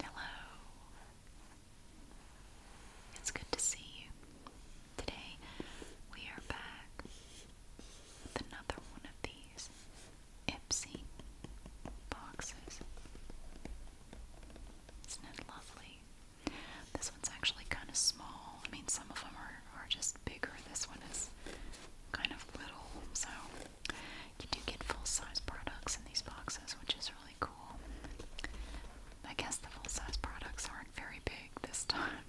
Hello. It's good to see you. Today we are back with another one of these Ipsy boxes. Isn't it lovely? This one's actually kind of small. I mean, some of them are, are just bigger. This one is kind of little. So, you do get full size products in these boxes, which is really cool. I guess the full size products aren't very big this time.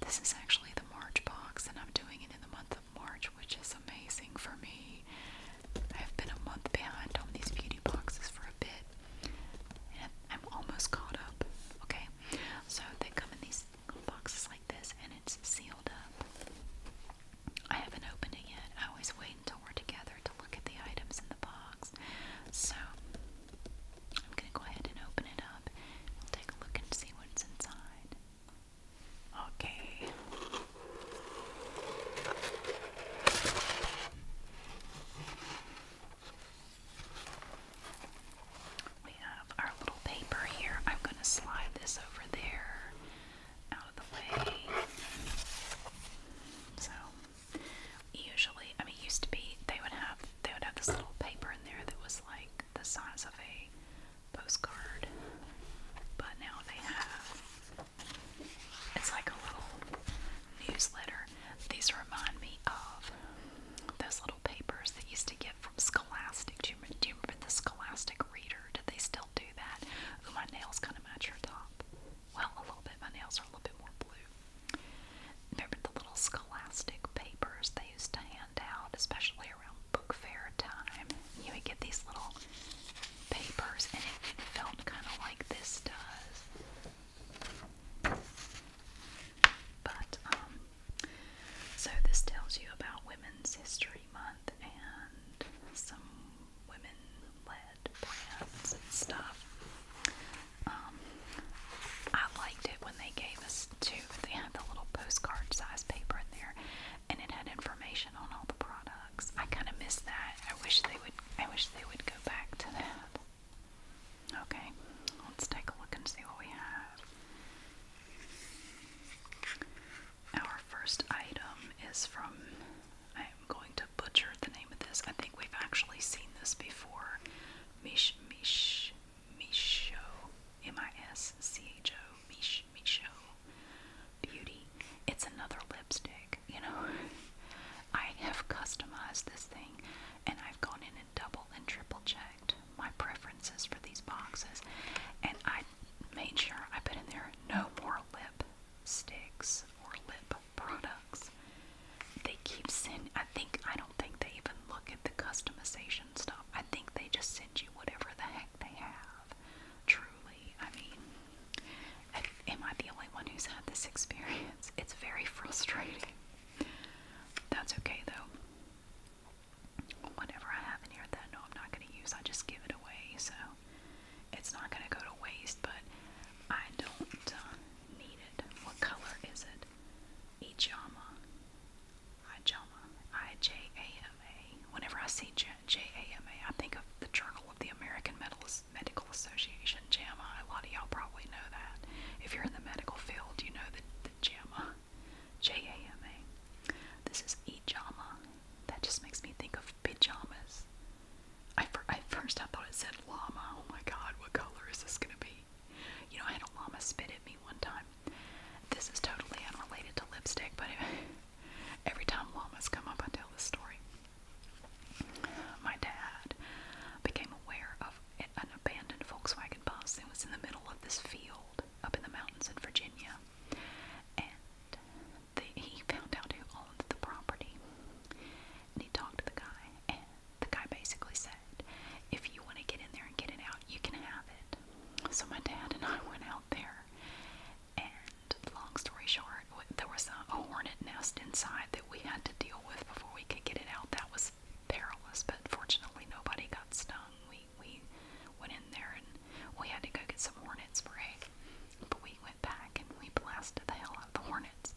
This is actually the March box, and I'm doing it in the month of March, which is amazing for me. I've been a month behind on these beauty boxes for a bit, I'm almost caught up. Okay, so they come in these little boxes like this, and it's sealed up. I haven't opened it yet. I always wait until we're together to look at the items in the box. So I'm gonna go ahead and open it up. We'll take a look and see what's inside. Okay. We have our little paper here. I'm going to slide this over there out of the way. So usually, I mean, it used to be they would have they would have this little paper in there that was like the size of a postcard, but now they have it's like a little newsletter. These remind me of those little papers that used to get from Scholastic. Do you, remember, do you remember the Scholastic Reader? Did they still do that? Ooh, my nails kind of match your top. Well, a little bit. My nails are a little bit more blue. Remember the little Scholastic papers they used to hand out, especially around book fair time? You would get these little papers, and it, it felt kind of like this does. But um so this tells you about Women's History Month and some women-led brands and stuff. Um, I liked it when they gave us two. They had the little postcard-sized paper in there, and it had information on all the products. I kind of miss that. I wish they would. I wish they would go back to that. Okay, let's take a look and see what we have. Our first item is from, I am going to butcher the name of this. I think we've actually seen this before. Mish, Mish, Misho, M-I-S-C-H-O, Mish, Misho Beauty. It's another lipstick, you know. I have customized this thing and I've gone in double and triple checked my preferences for these boxes, and I made sure I put in there no more lip or lip products. They keep sending, I think, I don't think they even look at the customization stuff. I think they just send you whatever the heck they have. Truly, I mean, am I the only one who's had this experience? It's very frustrating. That's okay though. Whatever I have in here that no I'm not gonna use, I just give it away, so it's not gonna go to waste, but I don't uh, need it. What color is it? Ijama. Ijama. I J A M A. Whenever I see J A M A, I think of the Journal of the American Medical Association. JAMA. A lot of y'all probably know that. If you're in the medical field, you know the, the JAMA. J-A-M-A. This is e-JAMA. That just makes me think of pajamas. I, first I thought it said llama. Oh my god, what color is this gonna be? You know, I had a llama spit at me one time. This is totally unrelated to lipstick, but every time llamas come up, I tell this story. My dad became aware of an abandoned Volkswagen bus that was in the middle of this field up in the mountains in Virginia. And the, he found out who owned the property. And he talked to the guy, and the guy basically said, If you want to get in there and get it out, you can have it. So my dad and I went out there, and long story short, there was a hornet nest inside that we had to deal with before we could get it out. That was perilous, but fortunately nobody got stung. We we went in there and we had to go get some hornet spray, but we went back and we blasted the hell out of the hornets,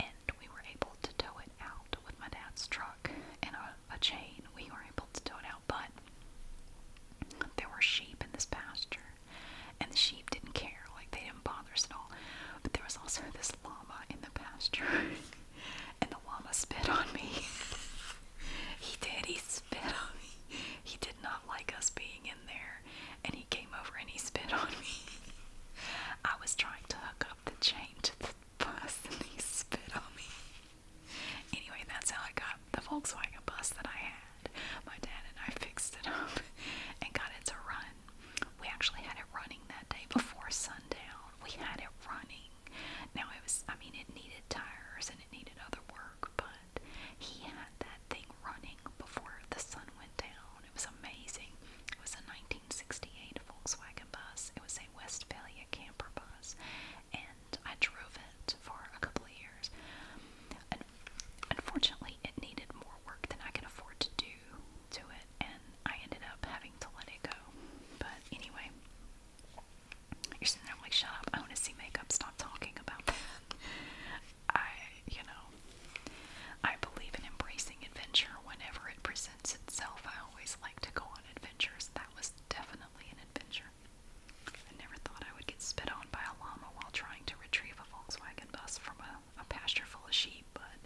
and we were able to tow it out with my dad's truck and a, a chain. We were able to tow it out, but there were sheep in this pasture, and the sheep didn't care. Like they didn't bother fathers and But there was also this llama in the pasture, and the llama spit on me. he did. He spit on me. He did not like us being in there, and he came over and he spit on me. I was trying to hook up the chain to the bus, and he spit on me. Anyway, that's how I got the Volkswagen bus that I had. My dad and I fixed it up and got it to run. We actually had it running that day before, so sundown. We had it running. Now it was, I mean, it needed tires and it needed other work, but he had that thing running before the sun went down. It was amazing. It was a 1968 Volkswagen bus. It was a Westphalia camper bus, and I drove it for a couple of years. And unfortunately, it needed more work than I could afford to do do it, and I ended up having to let it go. But anyway, you're sitting there like, shut up, I want to see makeup, stop talking about that. I, you know, I believe in embracing adventure whenever it presents itself. I always like to go on adventures. That was definitely an adventure. I never thought I would get spit on by a llama while trying to retrieve a Volkswagen bus from a a pasture full of sheep, but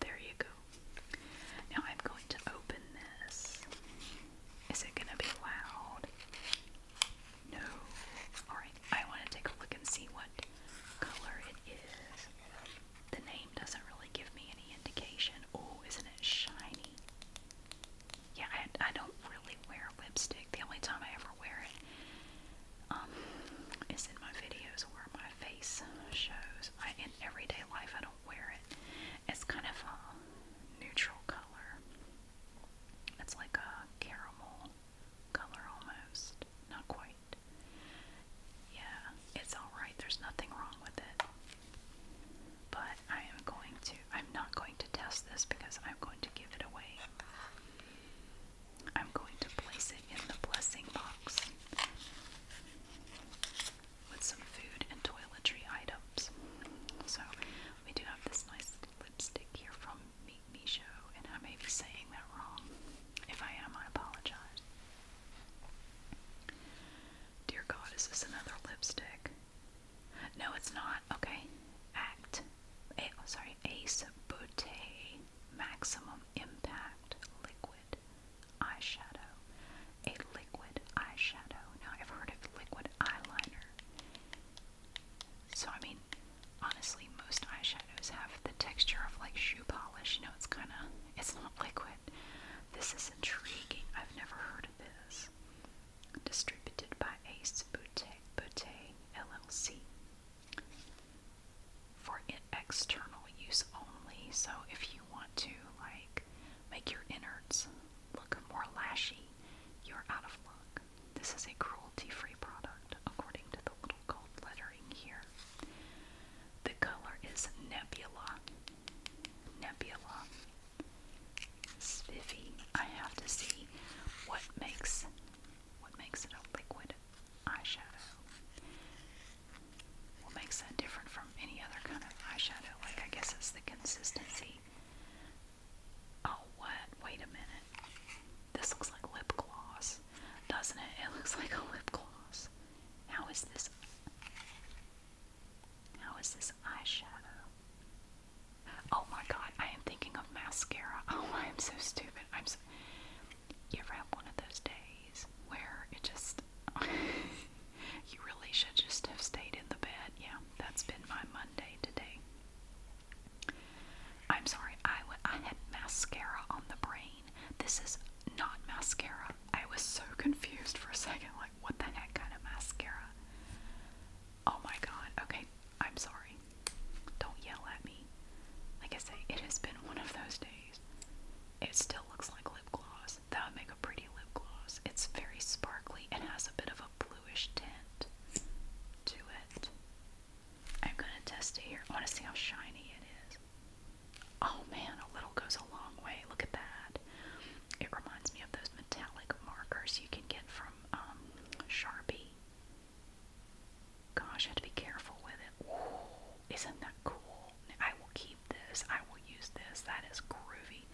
there you go. Now I'm going to open this. Is it going to be loud? No. Alright, I want to take a look and see what color it is. The name doesn't really give me any indication. Oh, isn't it shiny? Yeah, I, I don't really wear lipstick. The only time I ever wear it um, in my videos where my face shows. in everyday life, I don't wear it. It's kind of a neutral color. It's like a caramel color almost. Not quite. Yeah, it's alright. There's nothing wrong with it. But I am going to, I'm not going to test this because I'm going to give it away. I'm going to place it in the blessing box with some food and toiletry items. So we do have this nice lipstick here from Meet and I may be saying that wrong. If I am, I apologize. Dear God, is this another lipstick? No, it's not. Okay. Act. sorry, Ace Beauté Maximum Impact Liquid eyeshadow. A liquid eyeshadow. Now, I've heard of liquid eyeliner. So, I mean, honestly, most eyeshadows have the texture of like shoe polish. You know, it's kind of, it's not liquid. This is intriguing. I've never heard of this. Distributed by Ace Boutique, Boutique LLC for external use only. So if you want to like make your innards look more lashy, you're out of luck. This is a cruelty-free product according to the little gold lettering here. The color is Nebula. Nebula. Spiffy. I have to see what makes what makes it a liquid eyeshadow. What makes that different from any other kind of eyeshadow? Like, I guess it's the consistency. Oh, what? Wait a minute. This looks like lip gloss, doesn't it? It looks like a lip gloss. How is this? How is this eyeshadow? Oh my god, I am thinking of mascara. Oh, I am so stupid. I'm so, you ever have one of those days where it just you really should just have stayed in the bed? Yeah, that's been my Monday today. I'm sorry, I, I had mascara on the brain. This is not mascara. I was so confused for a second, like, what the heck kind of mascara? Oh my god, okay, I'm sorry. Don't yell at me. Like I say, it has been one of those days it still looks like lip gloss. That would make a pretty lip gloss. It's very sparkly and has a bit of a bluish tint to it. I'm gonna test it here. I wanna see how shiny it is. Oh man, a little goes a long way. Look at that. It reminds me of those metallic markers you can get from um, Sharpie. Gosh, I have to be careful with isn't that cool? I will keep this. I will use this. That is groovy.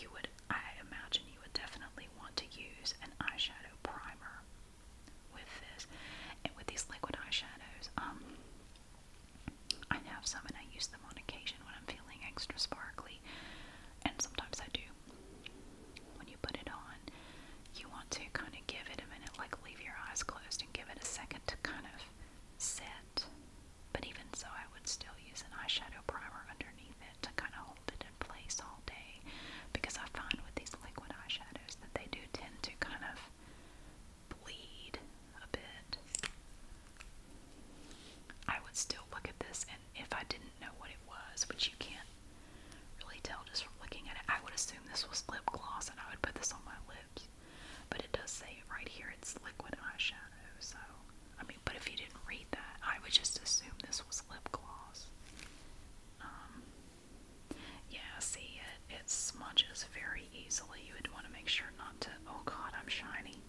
You would, I imagine, you would definitely want to use an eyeshadow primer with this. And with these liquid eyeshadows, um, I have some and I use them on occasion when I'm feeling extra sparkly. And sometimes I do. When you put it on, you want to kind of give it a minute, like leave your eyes closed and give it a second to kind of set, but even so, I would still use an eyeshadow primer underneath it to kind of hold it in place all day because I find with these liquid eyeshadows that they do tend to kind of bleed a bit. I would still look at this, and if I didn't know what it was, which you can't really tell just from looking at it, I would assume this was lip gloss and I would put this on my lips. But it does say right here it's liquid eyeshadow, so I mean, but if you didn't read that, I would just assume this was lip gloss. Um, yeah, see, it, it smudges very easily. You would want to make sure not to. Oh God, I'm shiny.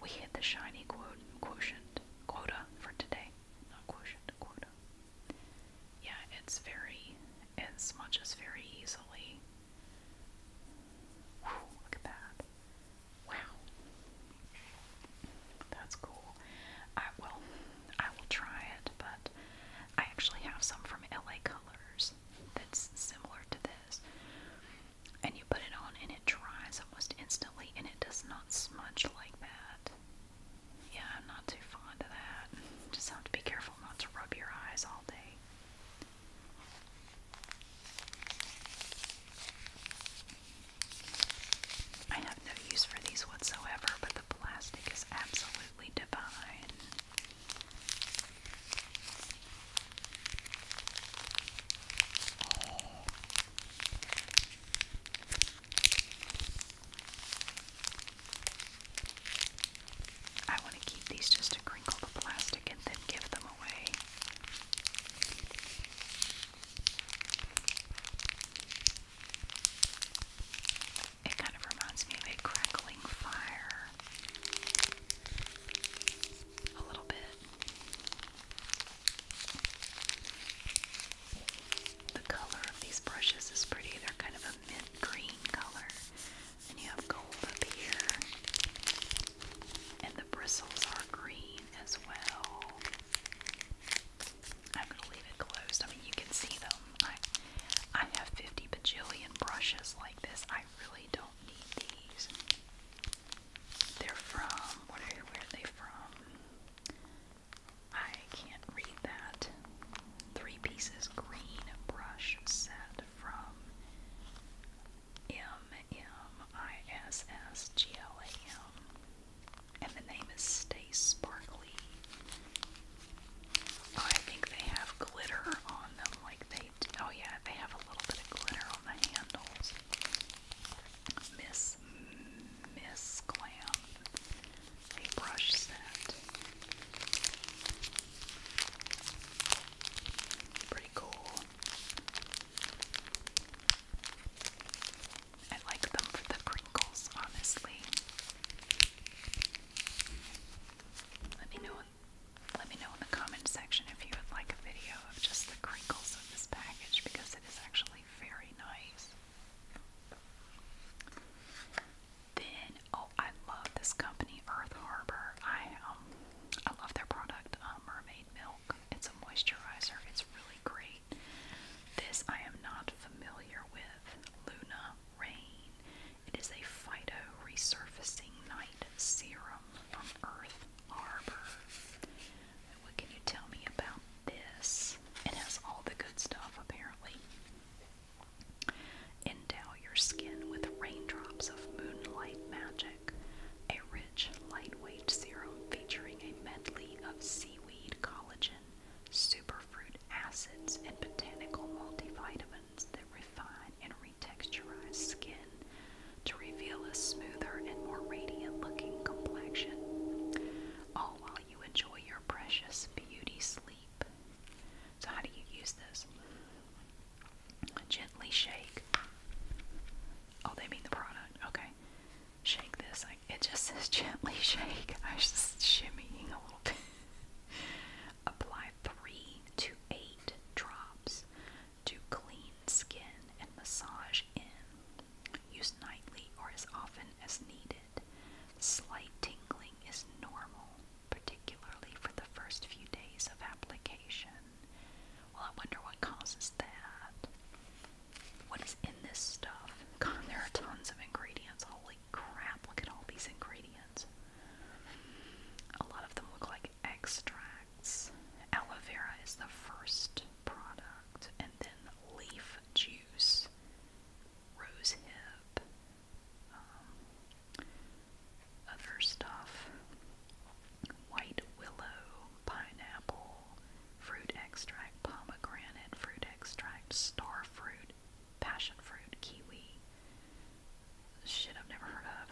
We hit the shiny quote, quotient quota for today. Not quota. Yeah, it's very. It smudges very easily. Whew, look at that. Wow. That's cool. I will I will try it, but I actually have some from LA Colors that's similar to this. And you put it on and it dries almost instantly and it does not smudge like that. Yeah, I'm not too fond of that. Just have to be careful not to rub your eyes all day. I have no use for these whatsoever, but the plastic is absolutely divine. I want to keep these just to crinkle the plastic and then give them away. It kind of reminds me of a crackling fire. A little bit. The color of these brushes is pretty. They're kind of a mint green color. And you have gold up here. And the bristles are green as well. I'm gonna leave it closed. I mean you can see them. I I have 50 bajillion brushes like this. I really don't need these. They're from what are where are they from? I can't read that. Three pieces green brush set from M-M-I-S-S-G-L-A-M and the name is Stay Sparkly. Oh, I think they have glitter on them like they Oh yeah, they have a little bit of glitter on the handles. Miss Miss Glam, a brush set. Pretty cool. I like them for the crinkles, honestly. Let me know let me know in the comment section if you would like a video of just the crinkles of this package because it is actually very nice. Then, oh, I love this company, Earth Harbor. I um, I love their product, um, Mermaid Milk. It's a moisturizer. It's really great. This I am not familiar with. Luna Rain. It is a phyto resurfacing night serum from Earth Harbor. What can you tell me about this? It has all the good stuff apparently. Endow your skin with raindrops of moonlight magic, a rich, lightweight serum featuring a medley of seaweed collagen, superfruit acids, and botanical multivitamins that refine and retexturize skin to reveal a smoother and more radiant looking complexion. All while you enjoy your precious beauty sleep so, how do you use this? Gently shake. Oh, they mean the product. Okay. Shake this. I, it just says gently shake. I am just shimmying a little bit. Apply three to eight drops to clean skin and massage in. Use nightly or as often as needed. Slight tingling is normal particularly for the first few days of application. Well, I wonder what causes that. What is in this stuff? God, there are tons of ingredients. Holy crap, look at all these ingredients. A lot of them look like extracts. Aloe vera is the first product, and then leaf juice, rose hip, um, other stuff white willow, pineapple, fruit extract, pomegranate, fruit extract, star fruit, passion fruit, kiwi. Shit I've never heard of.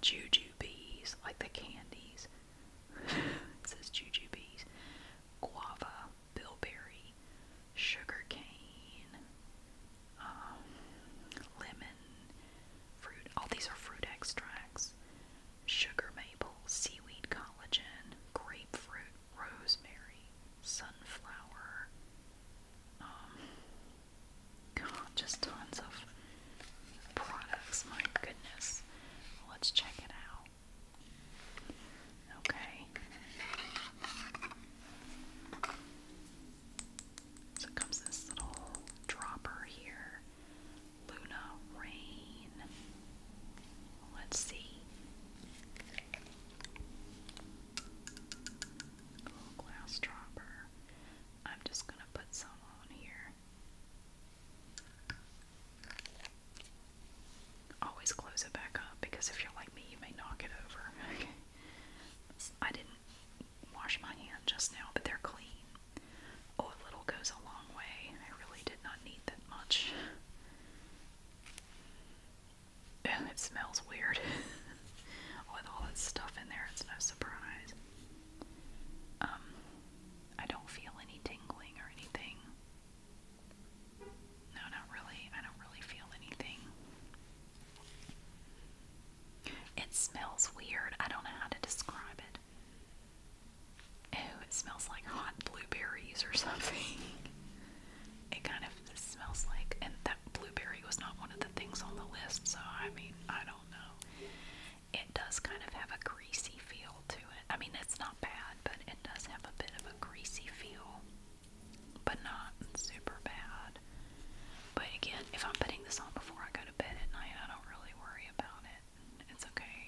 Juju bees, like the candies. it says juju bees. Guava, bilberry, sugar cane, um, lemon, fruit. All these are fruit extracts. Sugar maple, seaweed collagen, grapefruit, rosemary, sunflower. Um, just tons of products. My goodness. Let's check it out. Okay. So it comes this little dropper here. Luna Rain. Let's see. little glass dropper. I'm just gonna put some on here. Always close it back up because if you're like me, you may knock it over. Okay. I didn't wash my hands just now, but they're clean. Oh, a little goes a long way. I really did not need that much. it smells weird. With all that stuff in there, it's no surprise. Um, I don't feel any tingling or anything. No, not really. I don't really feel anything. It smells weird. I don't know how to describe it. Oh, it smells like hot blueberries or something. It kind of smells like, and that blueberry was not one of the things on the list, so I mean, I don't know. It does kind of have a greasy feel to it. I mean, it's not bad, but it does have a bit of a greasy feel but not super bad. But again, if I'm putting this on before I go to bed at night, I don't really worry about it. It's okay.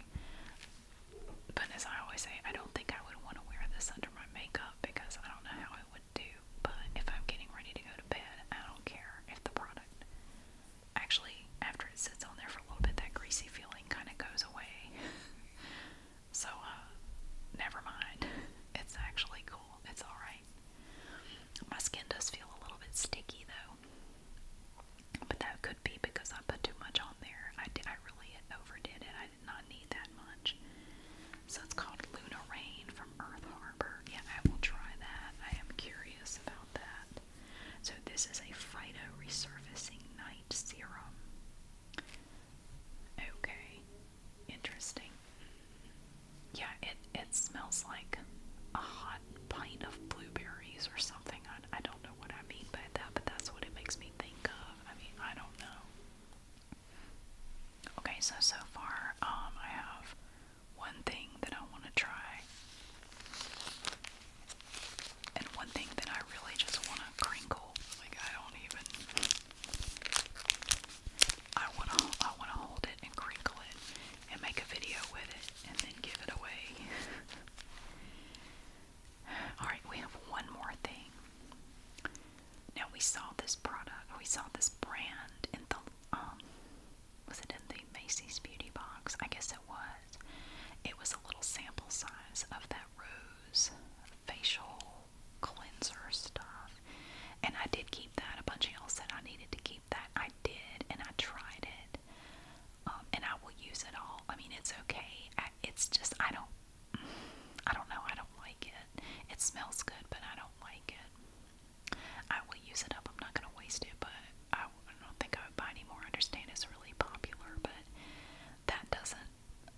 But as I always say, I don't think I would want to wear this under my makeup because I don't know how it would do. But if I'm getting ready to go to bed, I don't care if the product actually, after it sits on there for a little bit, that greasy feeling kind of goes away. so, uh, never mind. It's actually cool. It's alright. My skin does feel a little bit sticky though, but that could be because I put too much on there. I did, I really overdid it. I did not need that much. So it's called Luna Rain from Earth Harbor. Yeah, I will try that. I am curious about that. So this is a Phyto Resurfacing Night Serum. Okay, interesting. Yeah, it it smells like a hot pint of blueberries or something. I, I don't know what I mean by that, but that's what it makes me think of. I mean, I don't know. Okay, so so far, um, I have one thing that I want to try, and one thing that I really just want to crinkle. Like I don't even. I wanna I wanna hold it and crinkle it and make a video with it and then give it away. Alright, we have one more thing. Now we saw this product, we saw this brand in the um was it in the Macy's Beauty Box? I guess it was. It was a little sample size of that rose facial cleanser stuff. And I did keep that. A bunch of y'all said I needed to keep that. I did, and I tried it. Um, and I will use it all. I mean, it's okay. it's just, I don't, I don't know. I don't like it. It smells good, but I don't like it. I will use it up. I'm not going to waste it, but I, don't think I would buy any more. understand it's really popular, but that doesn't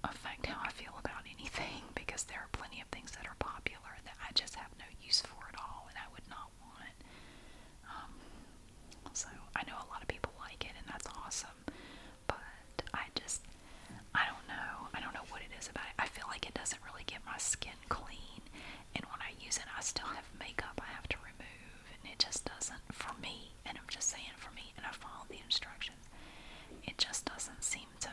affect how I feel about anything because there are plenty of plenty of things that are popular that I just have no use for at all and I would not want. Um, so I know a lot of people like it and that's awesome, but I just, I don't know. I don't know what it is about it. I feel like it doesn't really get my skin clean, and when I use it, I still have makeup I have to remove, and it just doesn't, for me, and I'm just saying for me, and I follow the instructions, it just doesn't seem to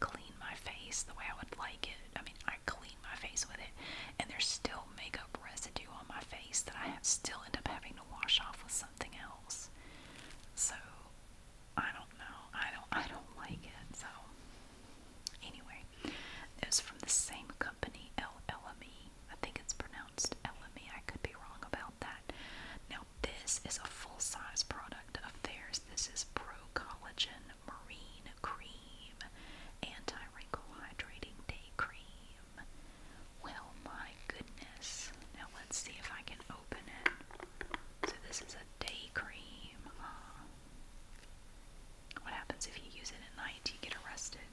clean my face the way I would like it. I mean, I clean my face with it, and there's still makeup residue on my face that I have still end up having to wash off with something else. So I don't know. I don't. I don't like it. So anyway, it was from the same company, LLME. I think it's pronounced LME. I could be wrong about that. Now this is a full size product of theirs. This is Pro Collagen Marine Cream, Anti Wrinkle Hydrating Day Cream. Well, my goodness. Now let's see if I can open it. So, this is a day cream. Ah. what happens if you use it at night? You get arrested.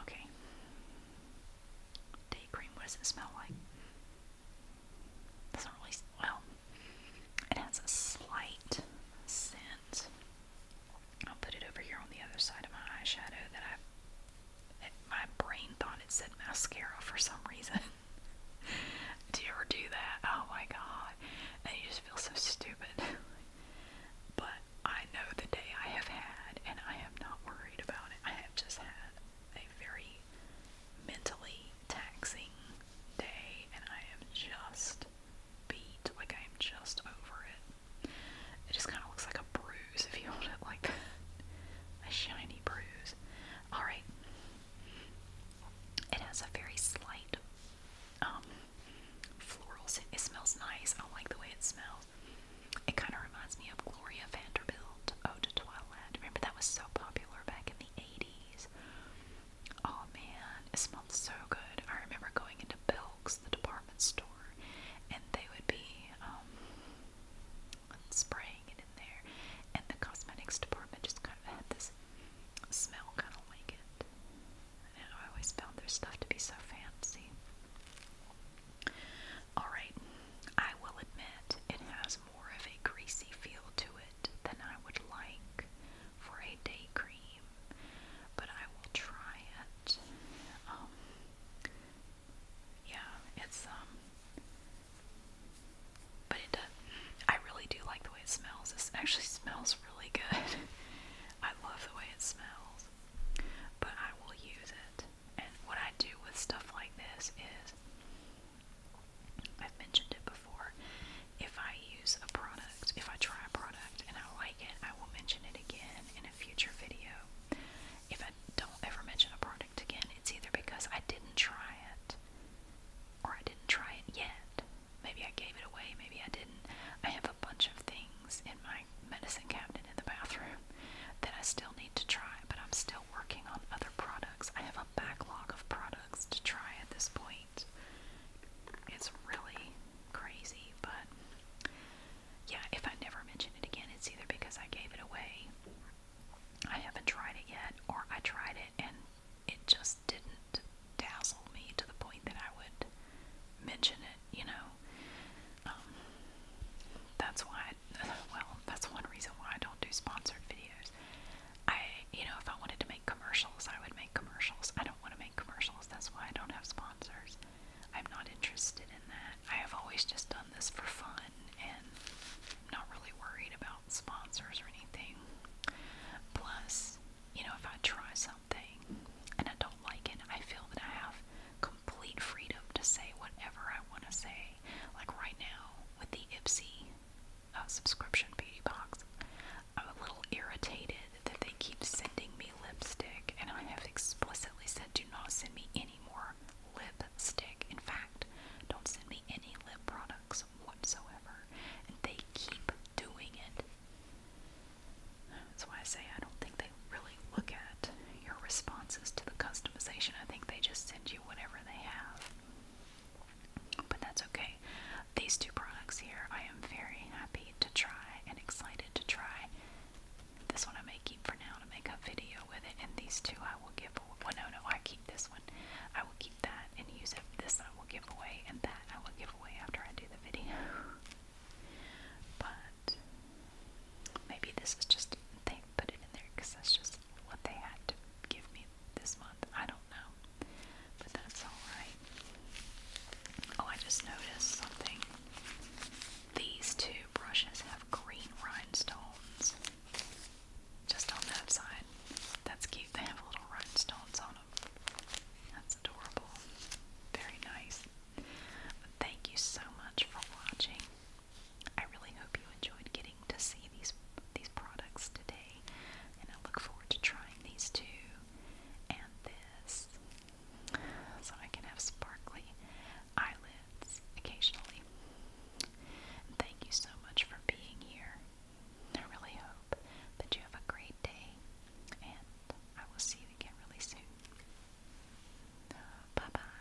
Okay. Day cream, what does it smell like? It's not really, well, it has a slight scent. I'll put it over here on the other side of my eyeshadow that I my brain thought it said mascara for some reason. do you ever do that? Oh my god. And you just feel so stupid. but I know the day I have had, and I am not worried about it. I have just had a very mentally taxing day, and I am just beat. Like, I am just over it. It just kind of looks like a bruise if you hold it like A shiny bruise. Alright. It has a very slight um, floral scent. It smells nice. I like the way it smells. It kind of reminds me of Gloria Vanderbilt, Ode to Twilight. Remember that was so popular back in the 80s? is. Oh man, it smelled so good. I remember going into Belk's, the department store, and they would be um, spraying it in there, and the cosmetics department just kind of had this smell, kind of like it. And I always found their stuff to be so fancy. Alright, I will admit it has more of a greasy feel to it than I would like for a day cream, but I will try it. Um, yeah, it's um, but it does. I really do like the way it smells. This actually smells really good. I love the way it smells, but I will use it. And what I do with stuff like this is I've mentioned it before. If I use a product, if I try a product and I like it, I will mention it again in a future video. If I don't ever mention a product again, it's either because I didn't try it or I didn't try it yet. Maybe I gave it away, maybe I didn't. I have a bunch of things in my medicine cabinet in the bathroom that I still need to try, but I'm still working on other products. I have a backlog of products to try at this point. It's really crazy, but yeah, if I never mention it again, it's either because I gave it away, I haven't tried it yet, or I tried it and it just didn't dazzle me to the point that I would mention it, you know. Um, that's why, well, that's one reason why I don't do sponsored videos dollars. I, you know, if I wanted to make commercials, I would make commercials. I don't want to make commercials. That's why I don't have sponsors. I'm not interested in that. I have always just done this for fun and I'm not really worried about sponsors or anything. Plus, you know, if I try something and I don't like it, I feel that I have complete freedom to say whatever I want to say. Like right now with the Ipsy uh, subscription beauty box. I'm a little irritated that they keep sending me lipstick, and I have explicitly said do not send me any more lipstick. In fact, don't send me any lip products whatsoever, and they keep doing it. That's why I say I don't think they really look at your responses to the customization. I think they just send you whatever they have. But that's okay. These two products here, I am very happy to try and excited to try. This one I may keep for now to make a video with it, and these two I will give away. no, no, I keep this one. I will keep that and use it. This I will give away, and that I will give away after I do the video. but maybe this is just they put it in there because that's just what they had to give me this month. I don't know. But that's alright. Oh, I just noticed something. These two brushes have green rhinestones. Just on that side. That's cute. They have little rhinestones on them. That's adorable. Very nice. thank you so much for watching. I really hope you enjoyed getting to see these these products today, and I look forward to trying these two and this, so I can have sparkly eyelids occasionally. thank you so much for being here. I really hope that you have a great day, and I will see you again really soon. Bye bye.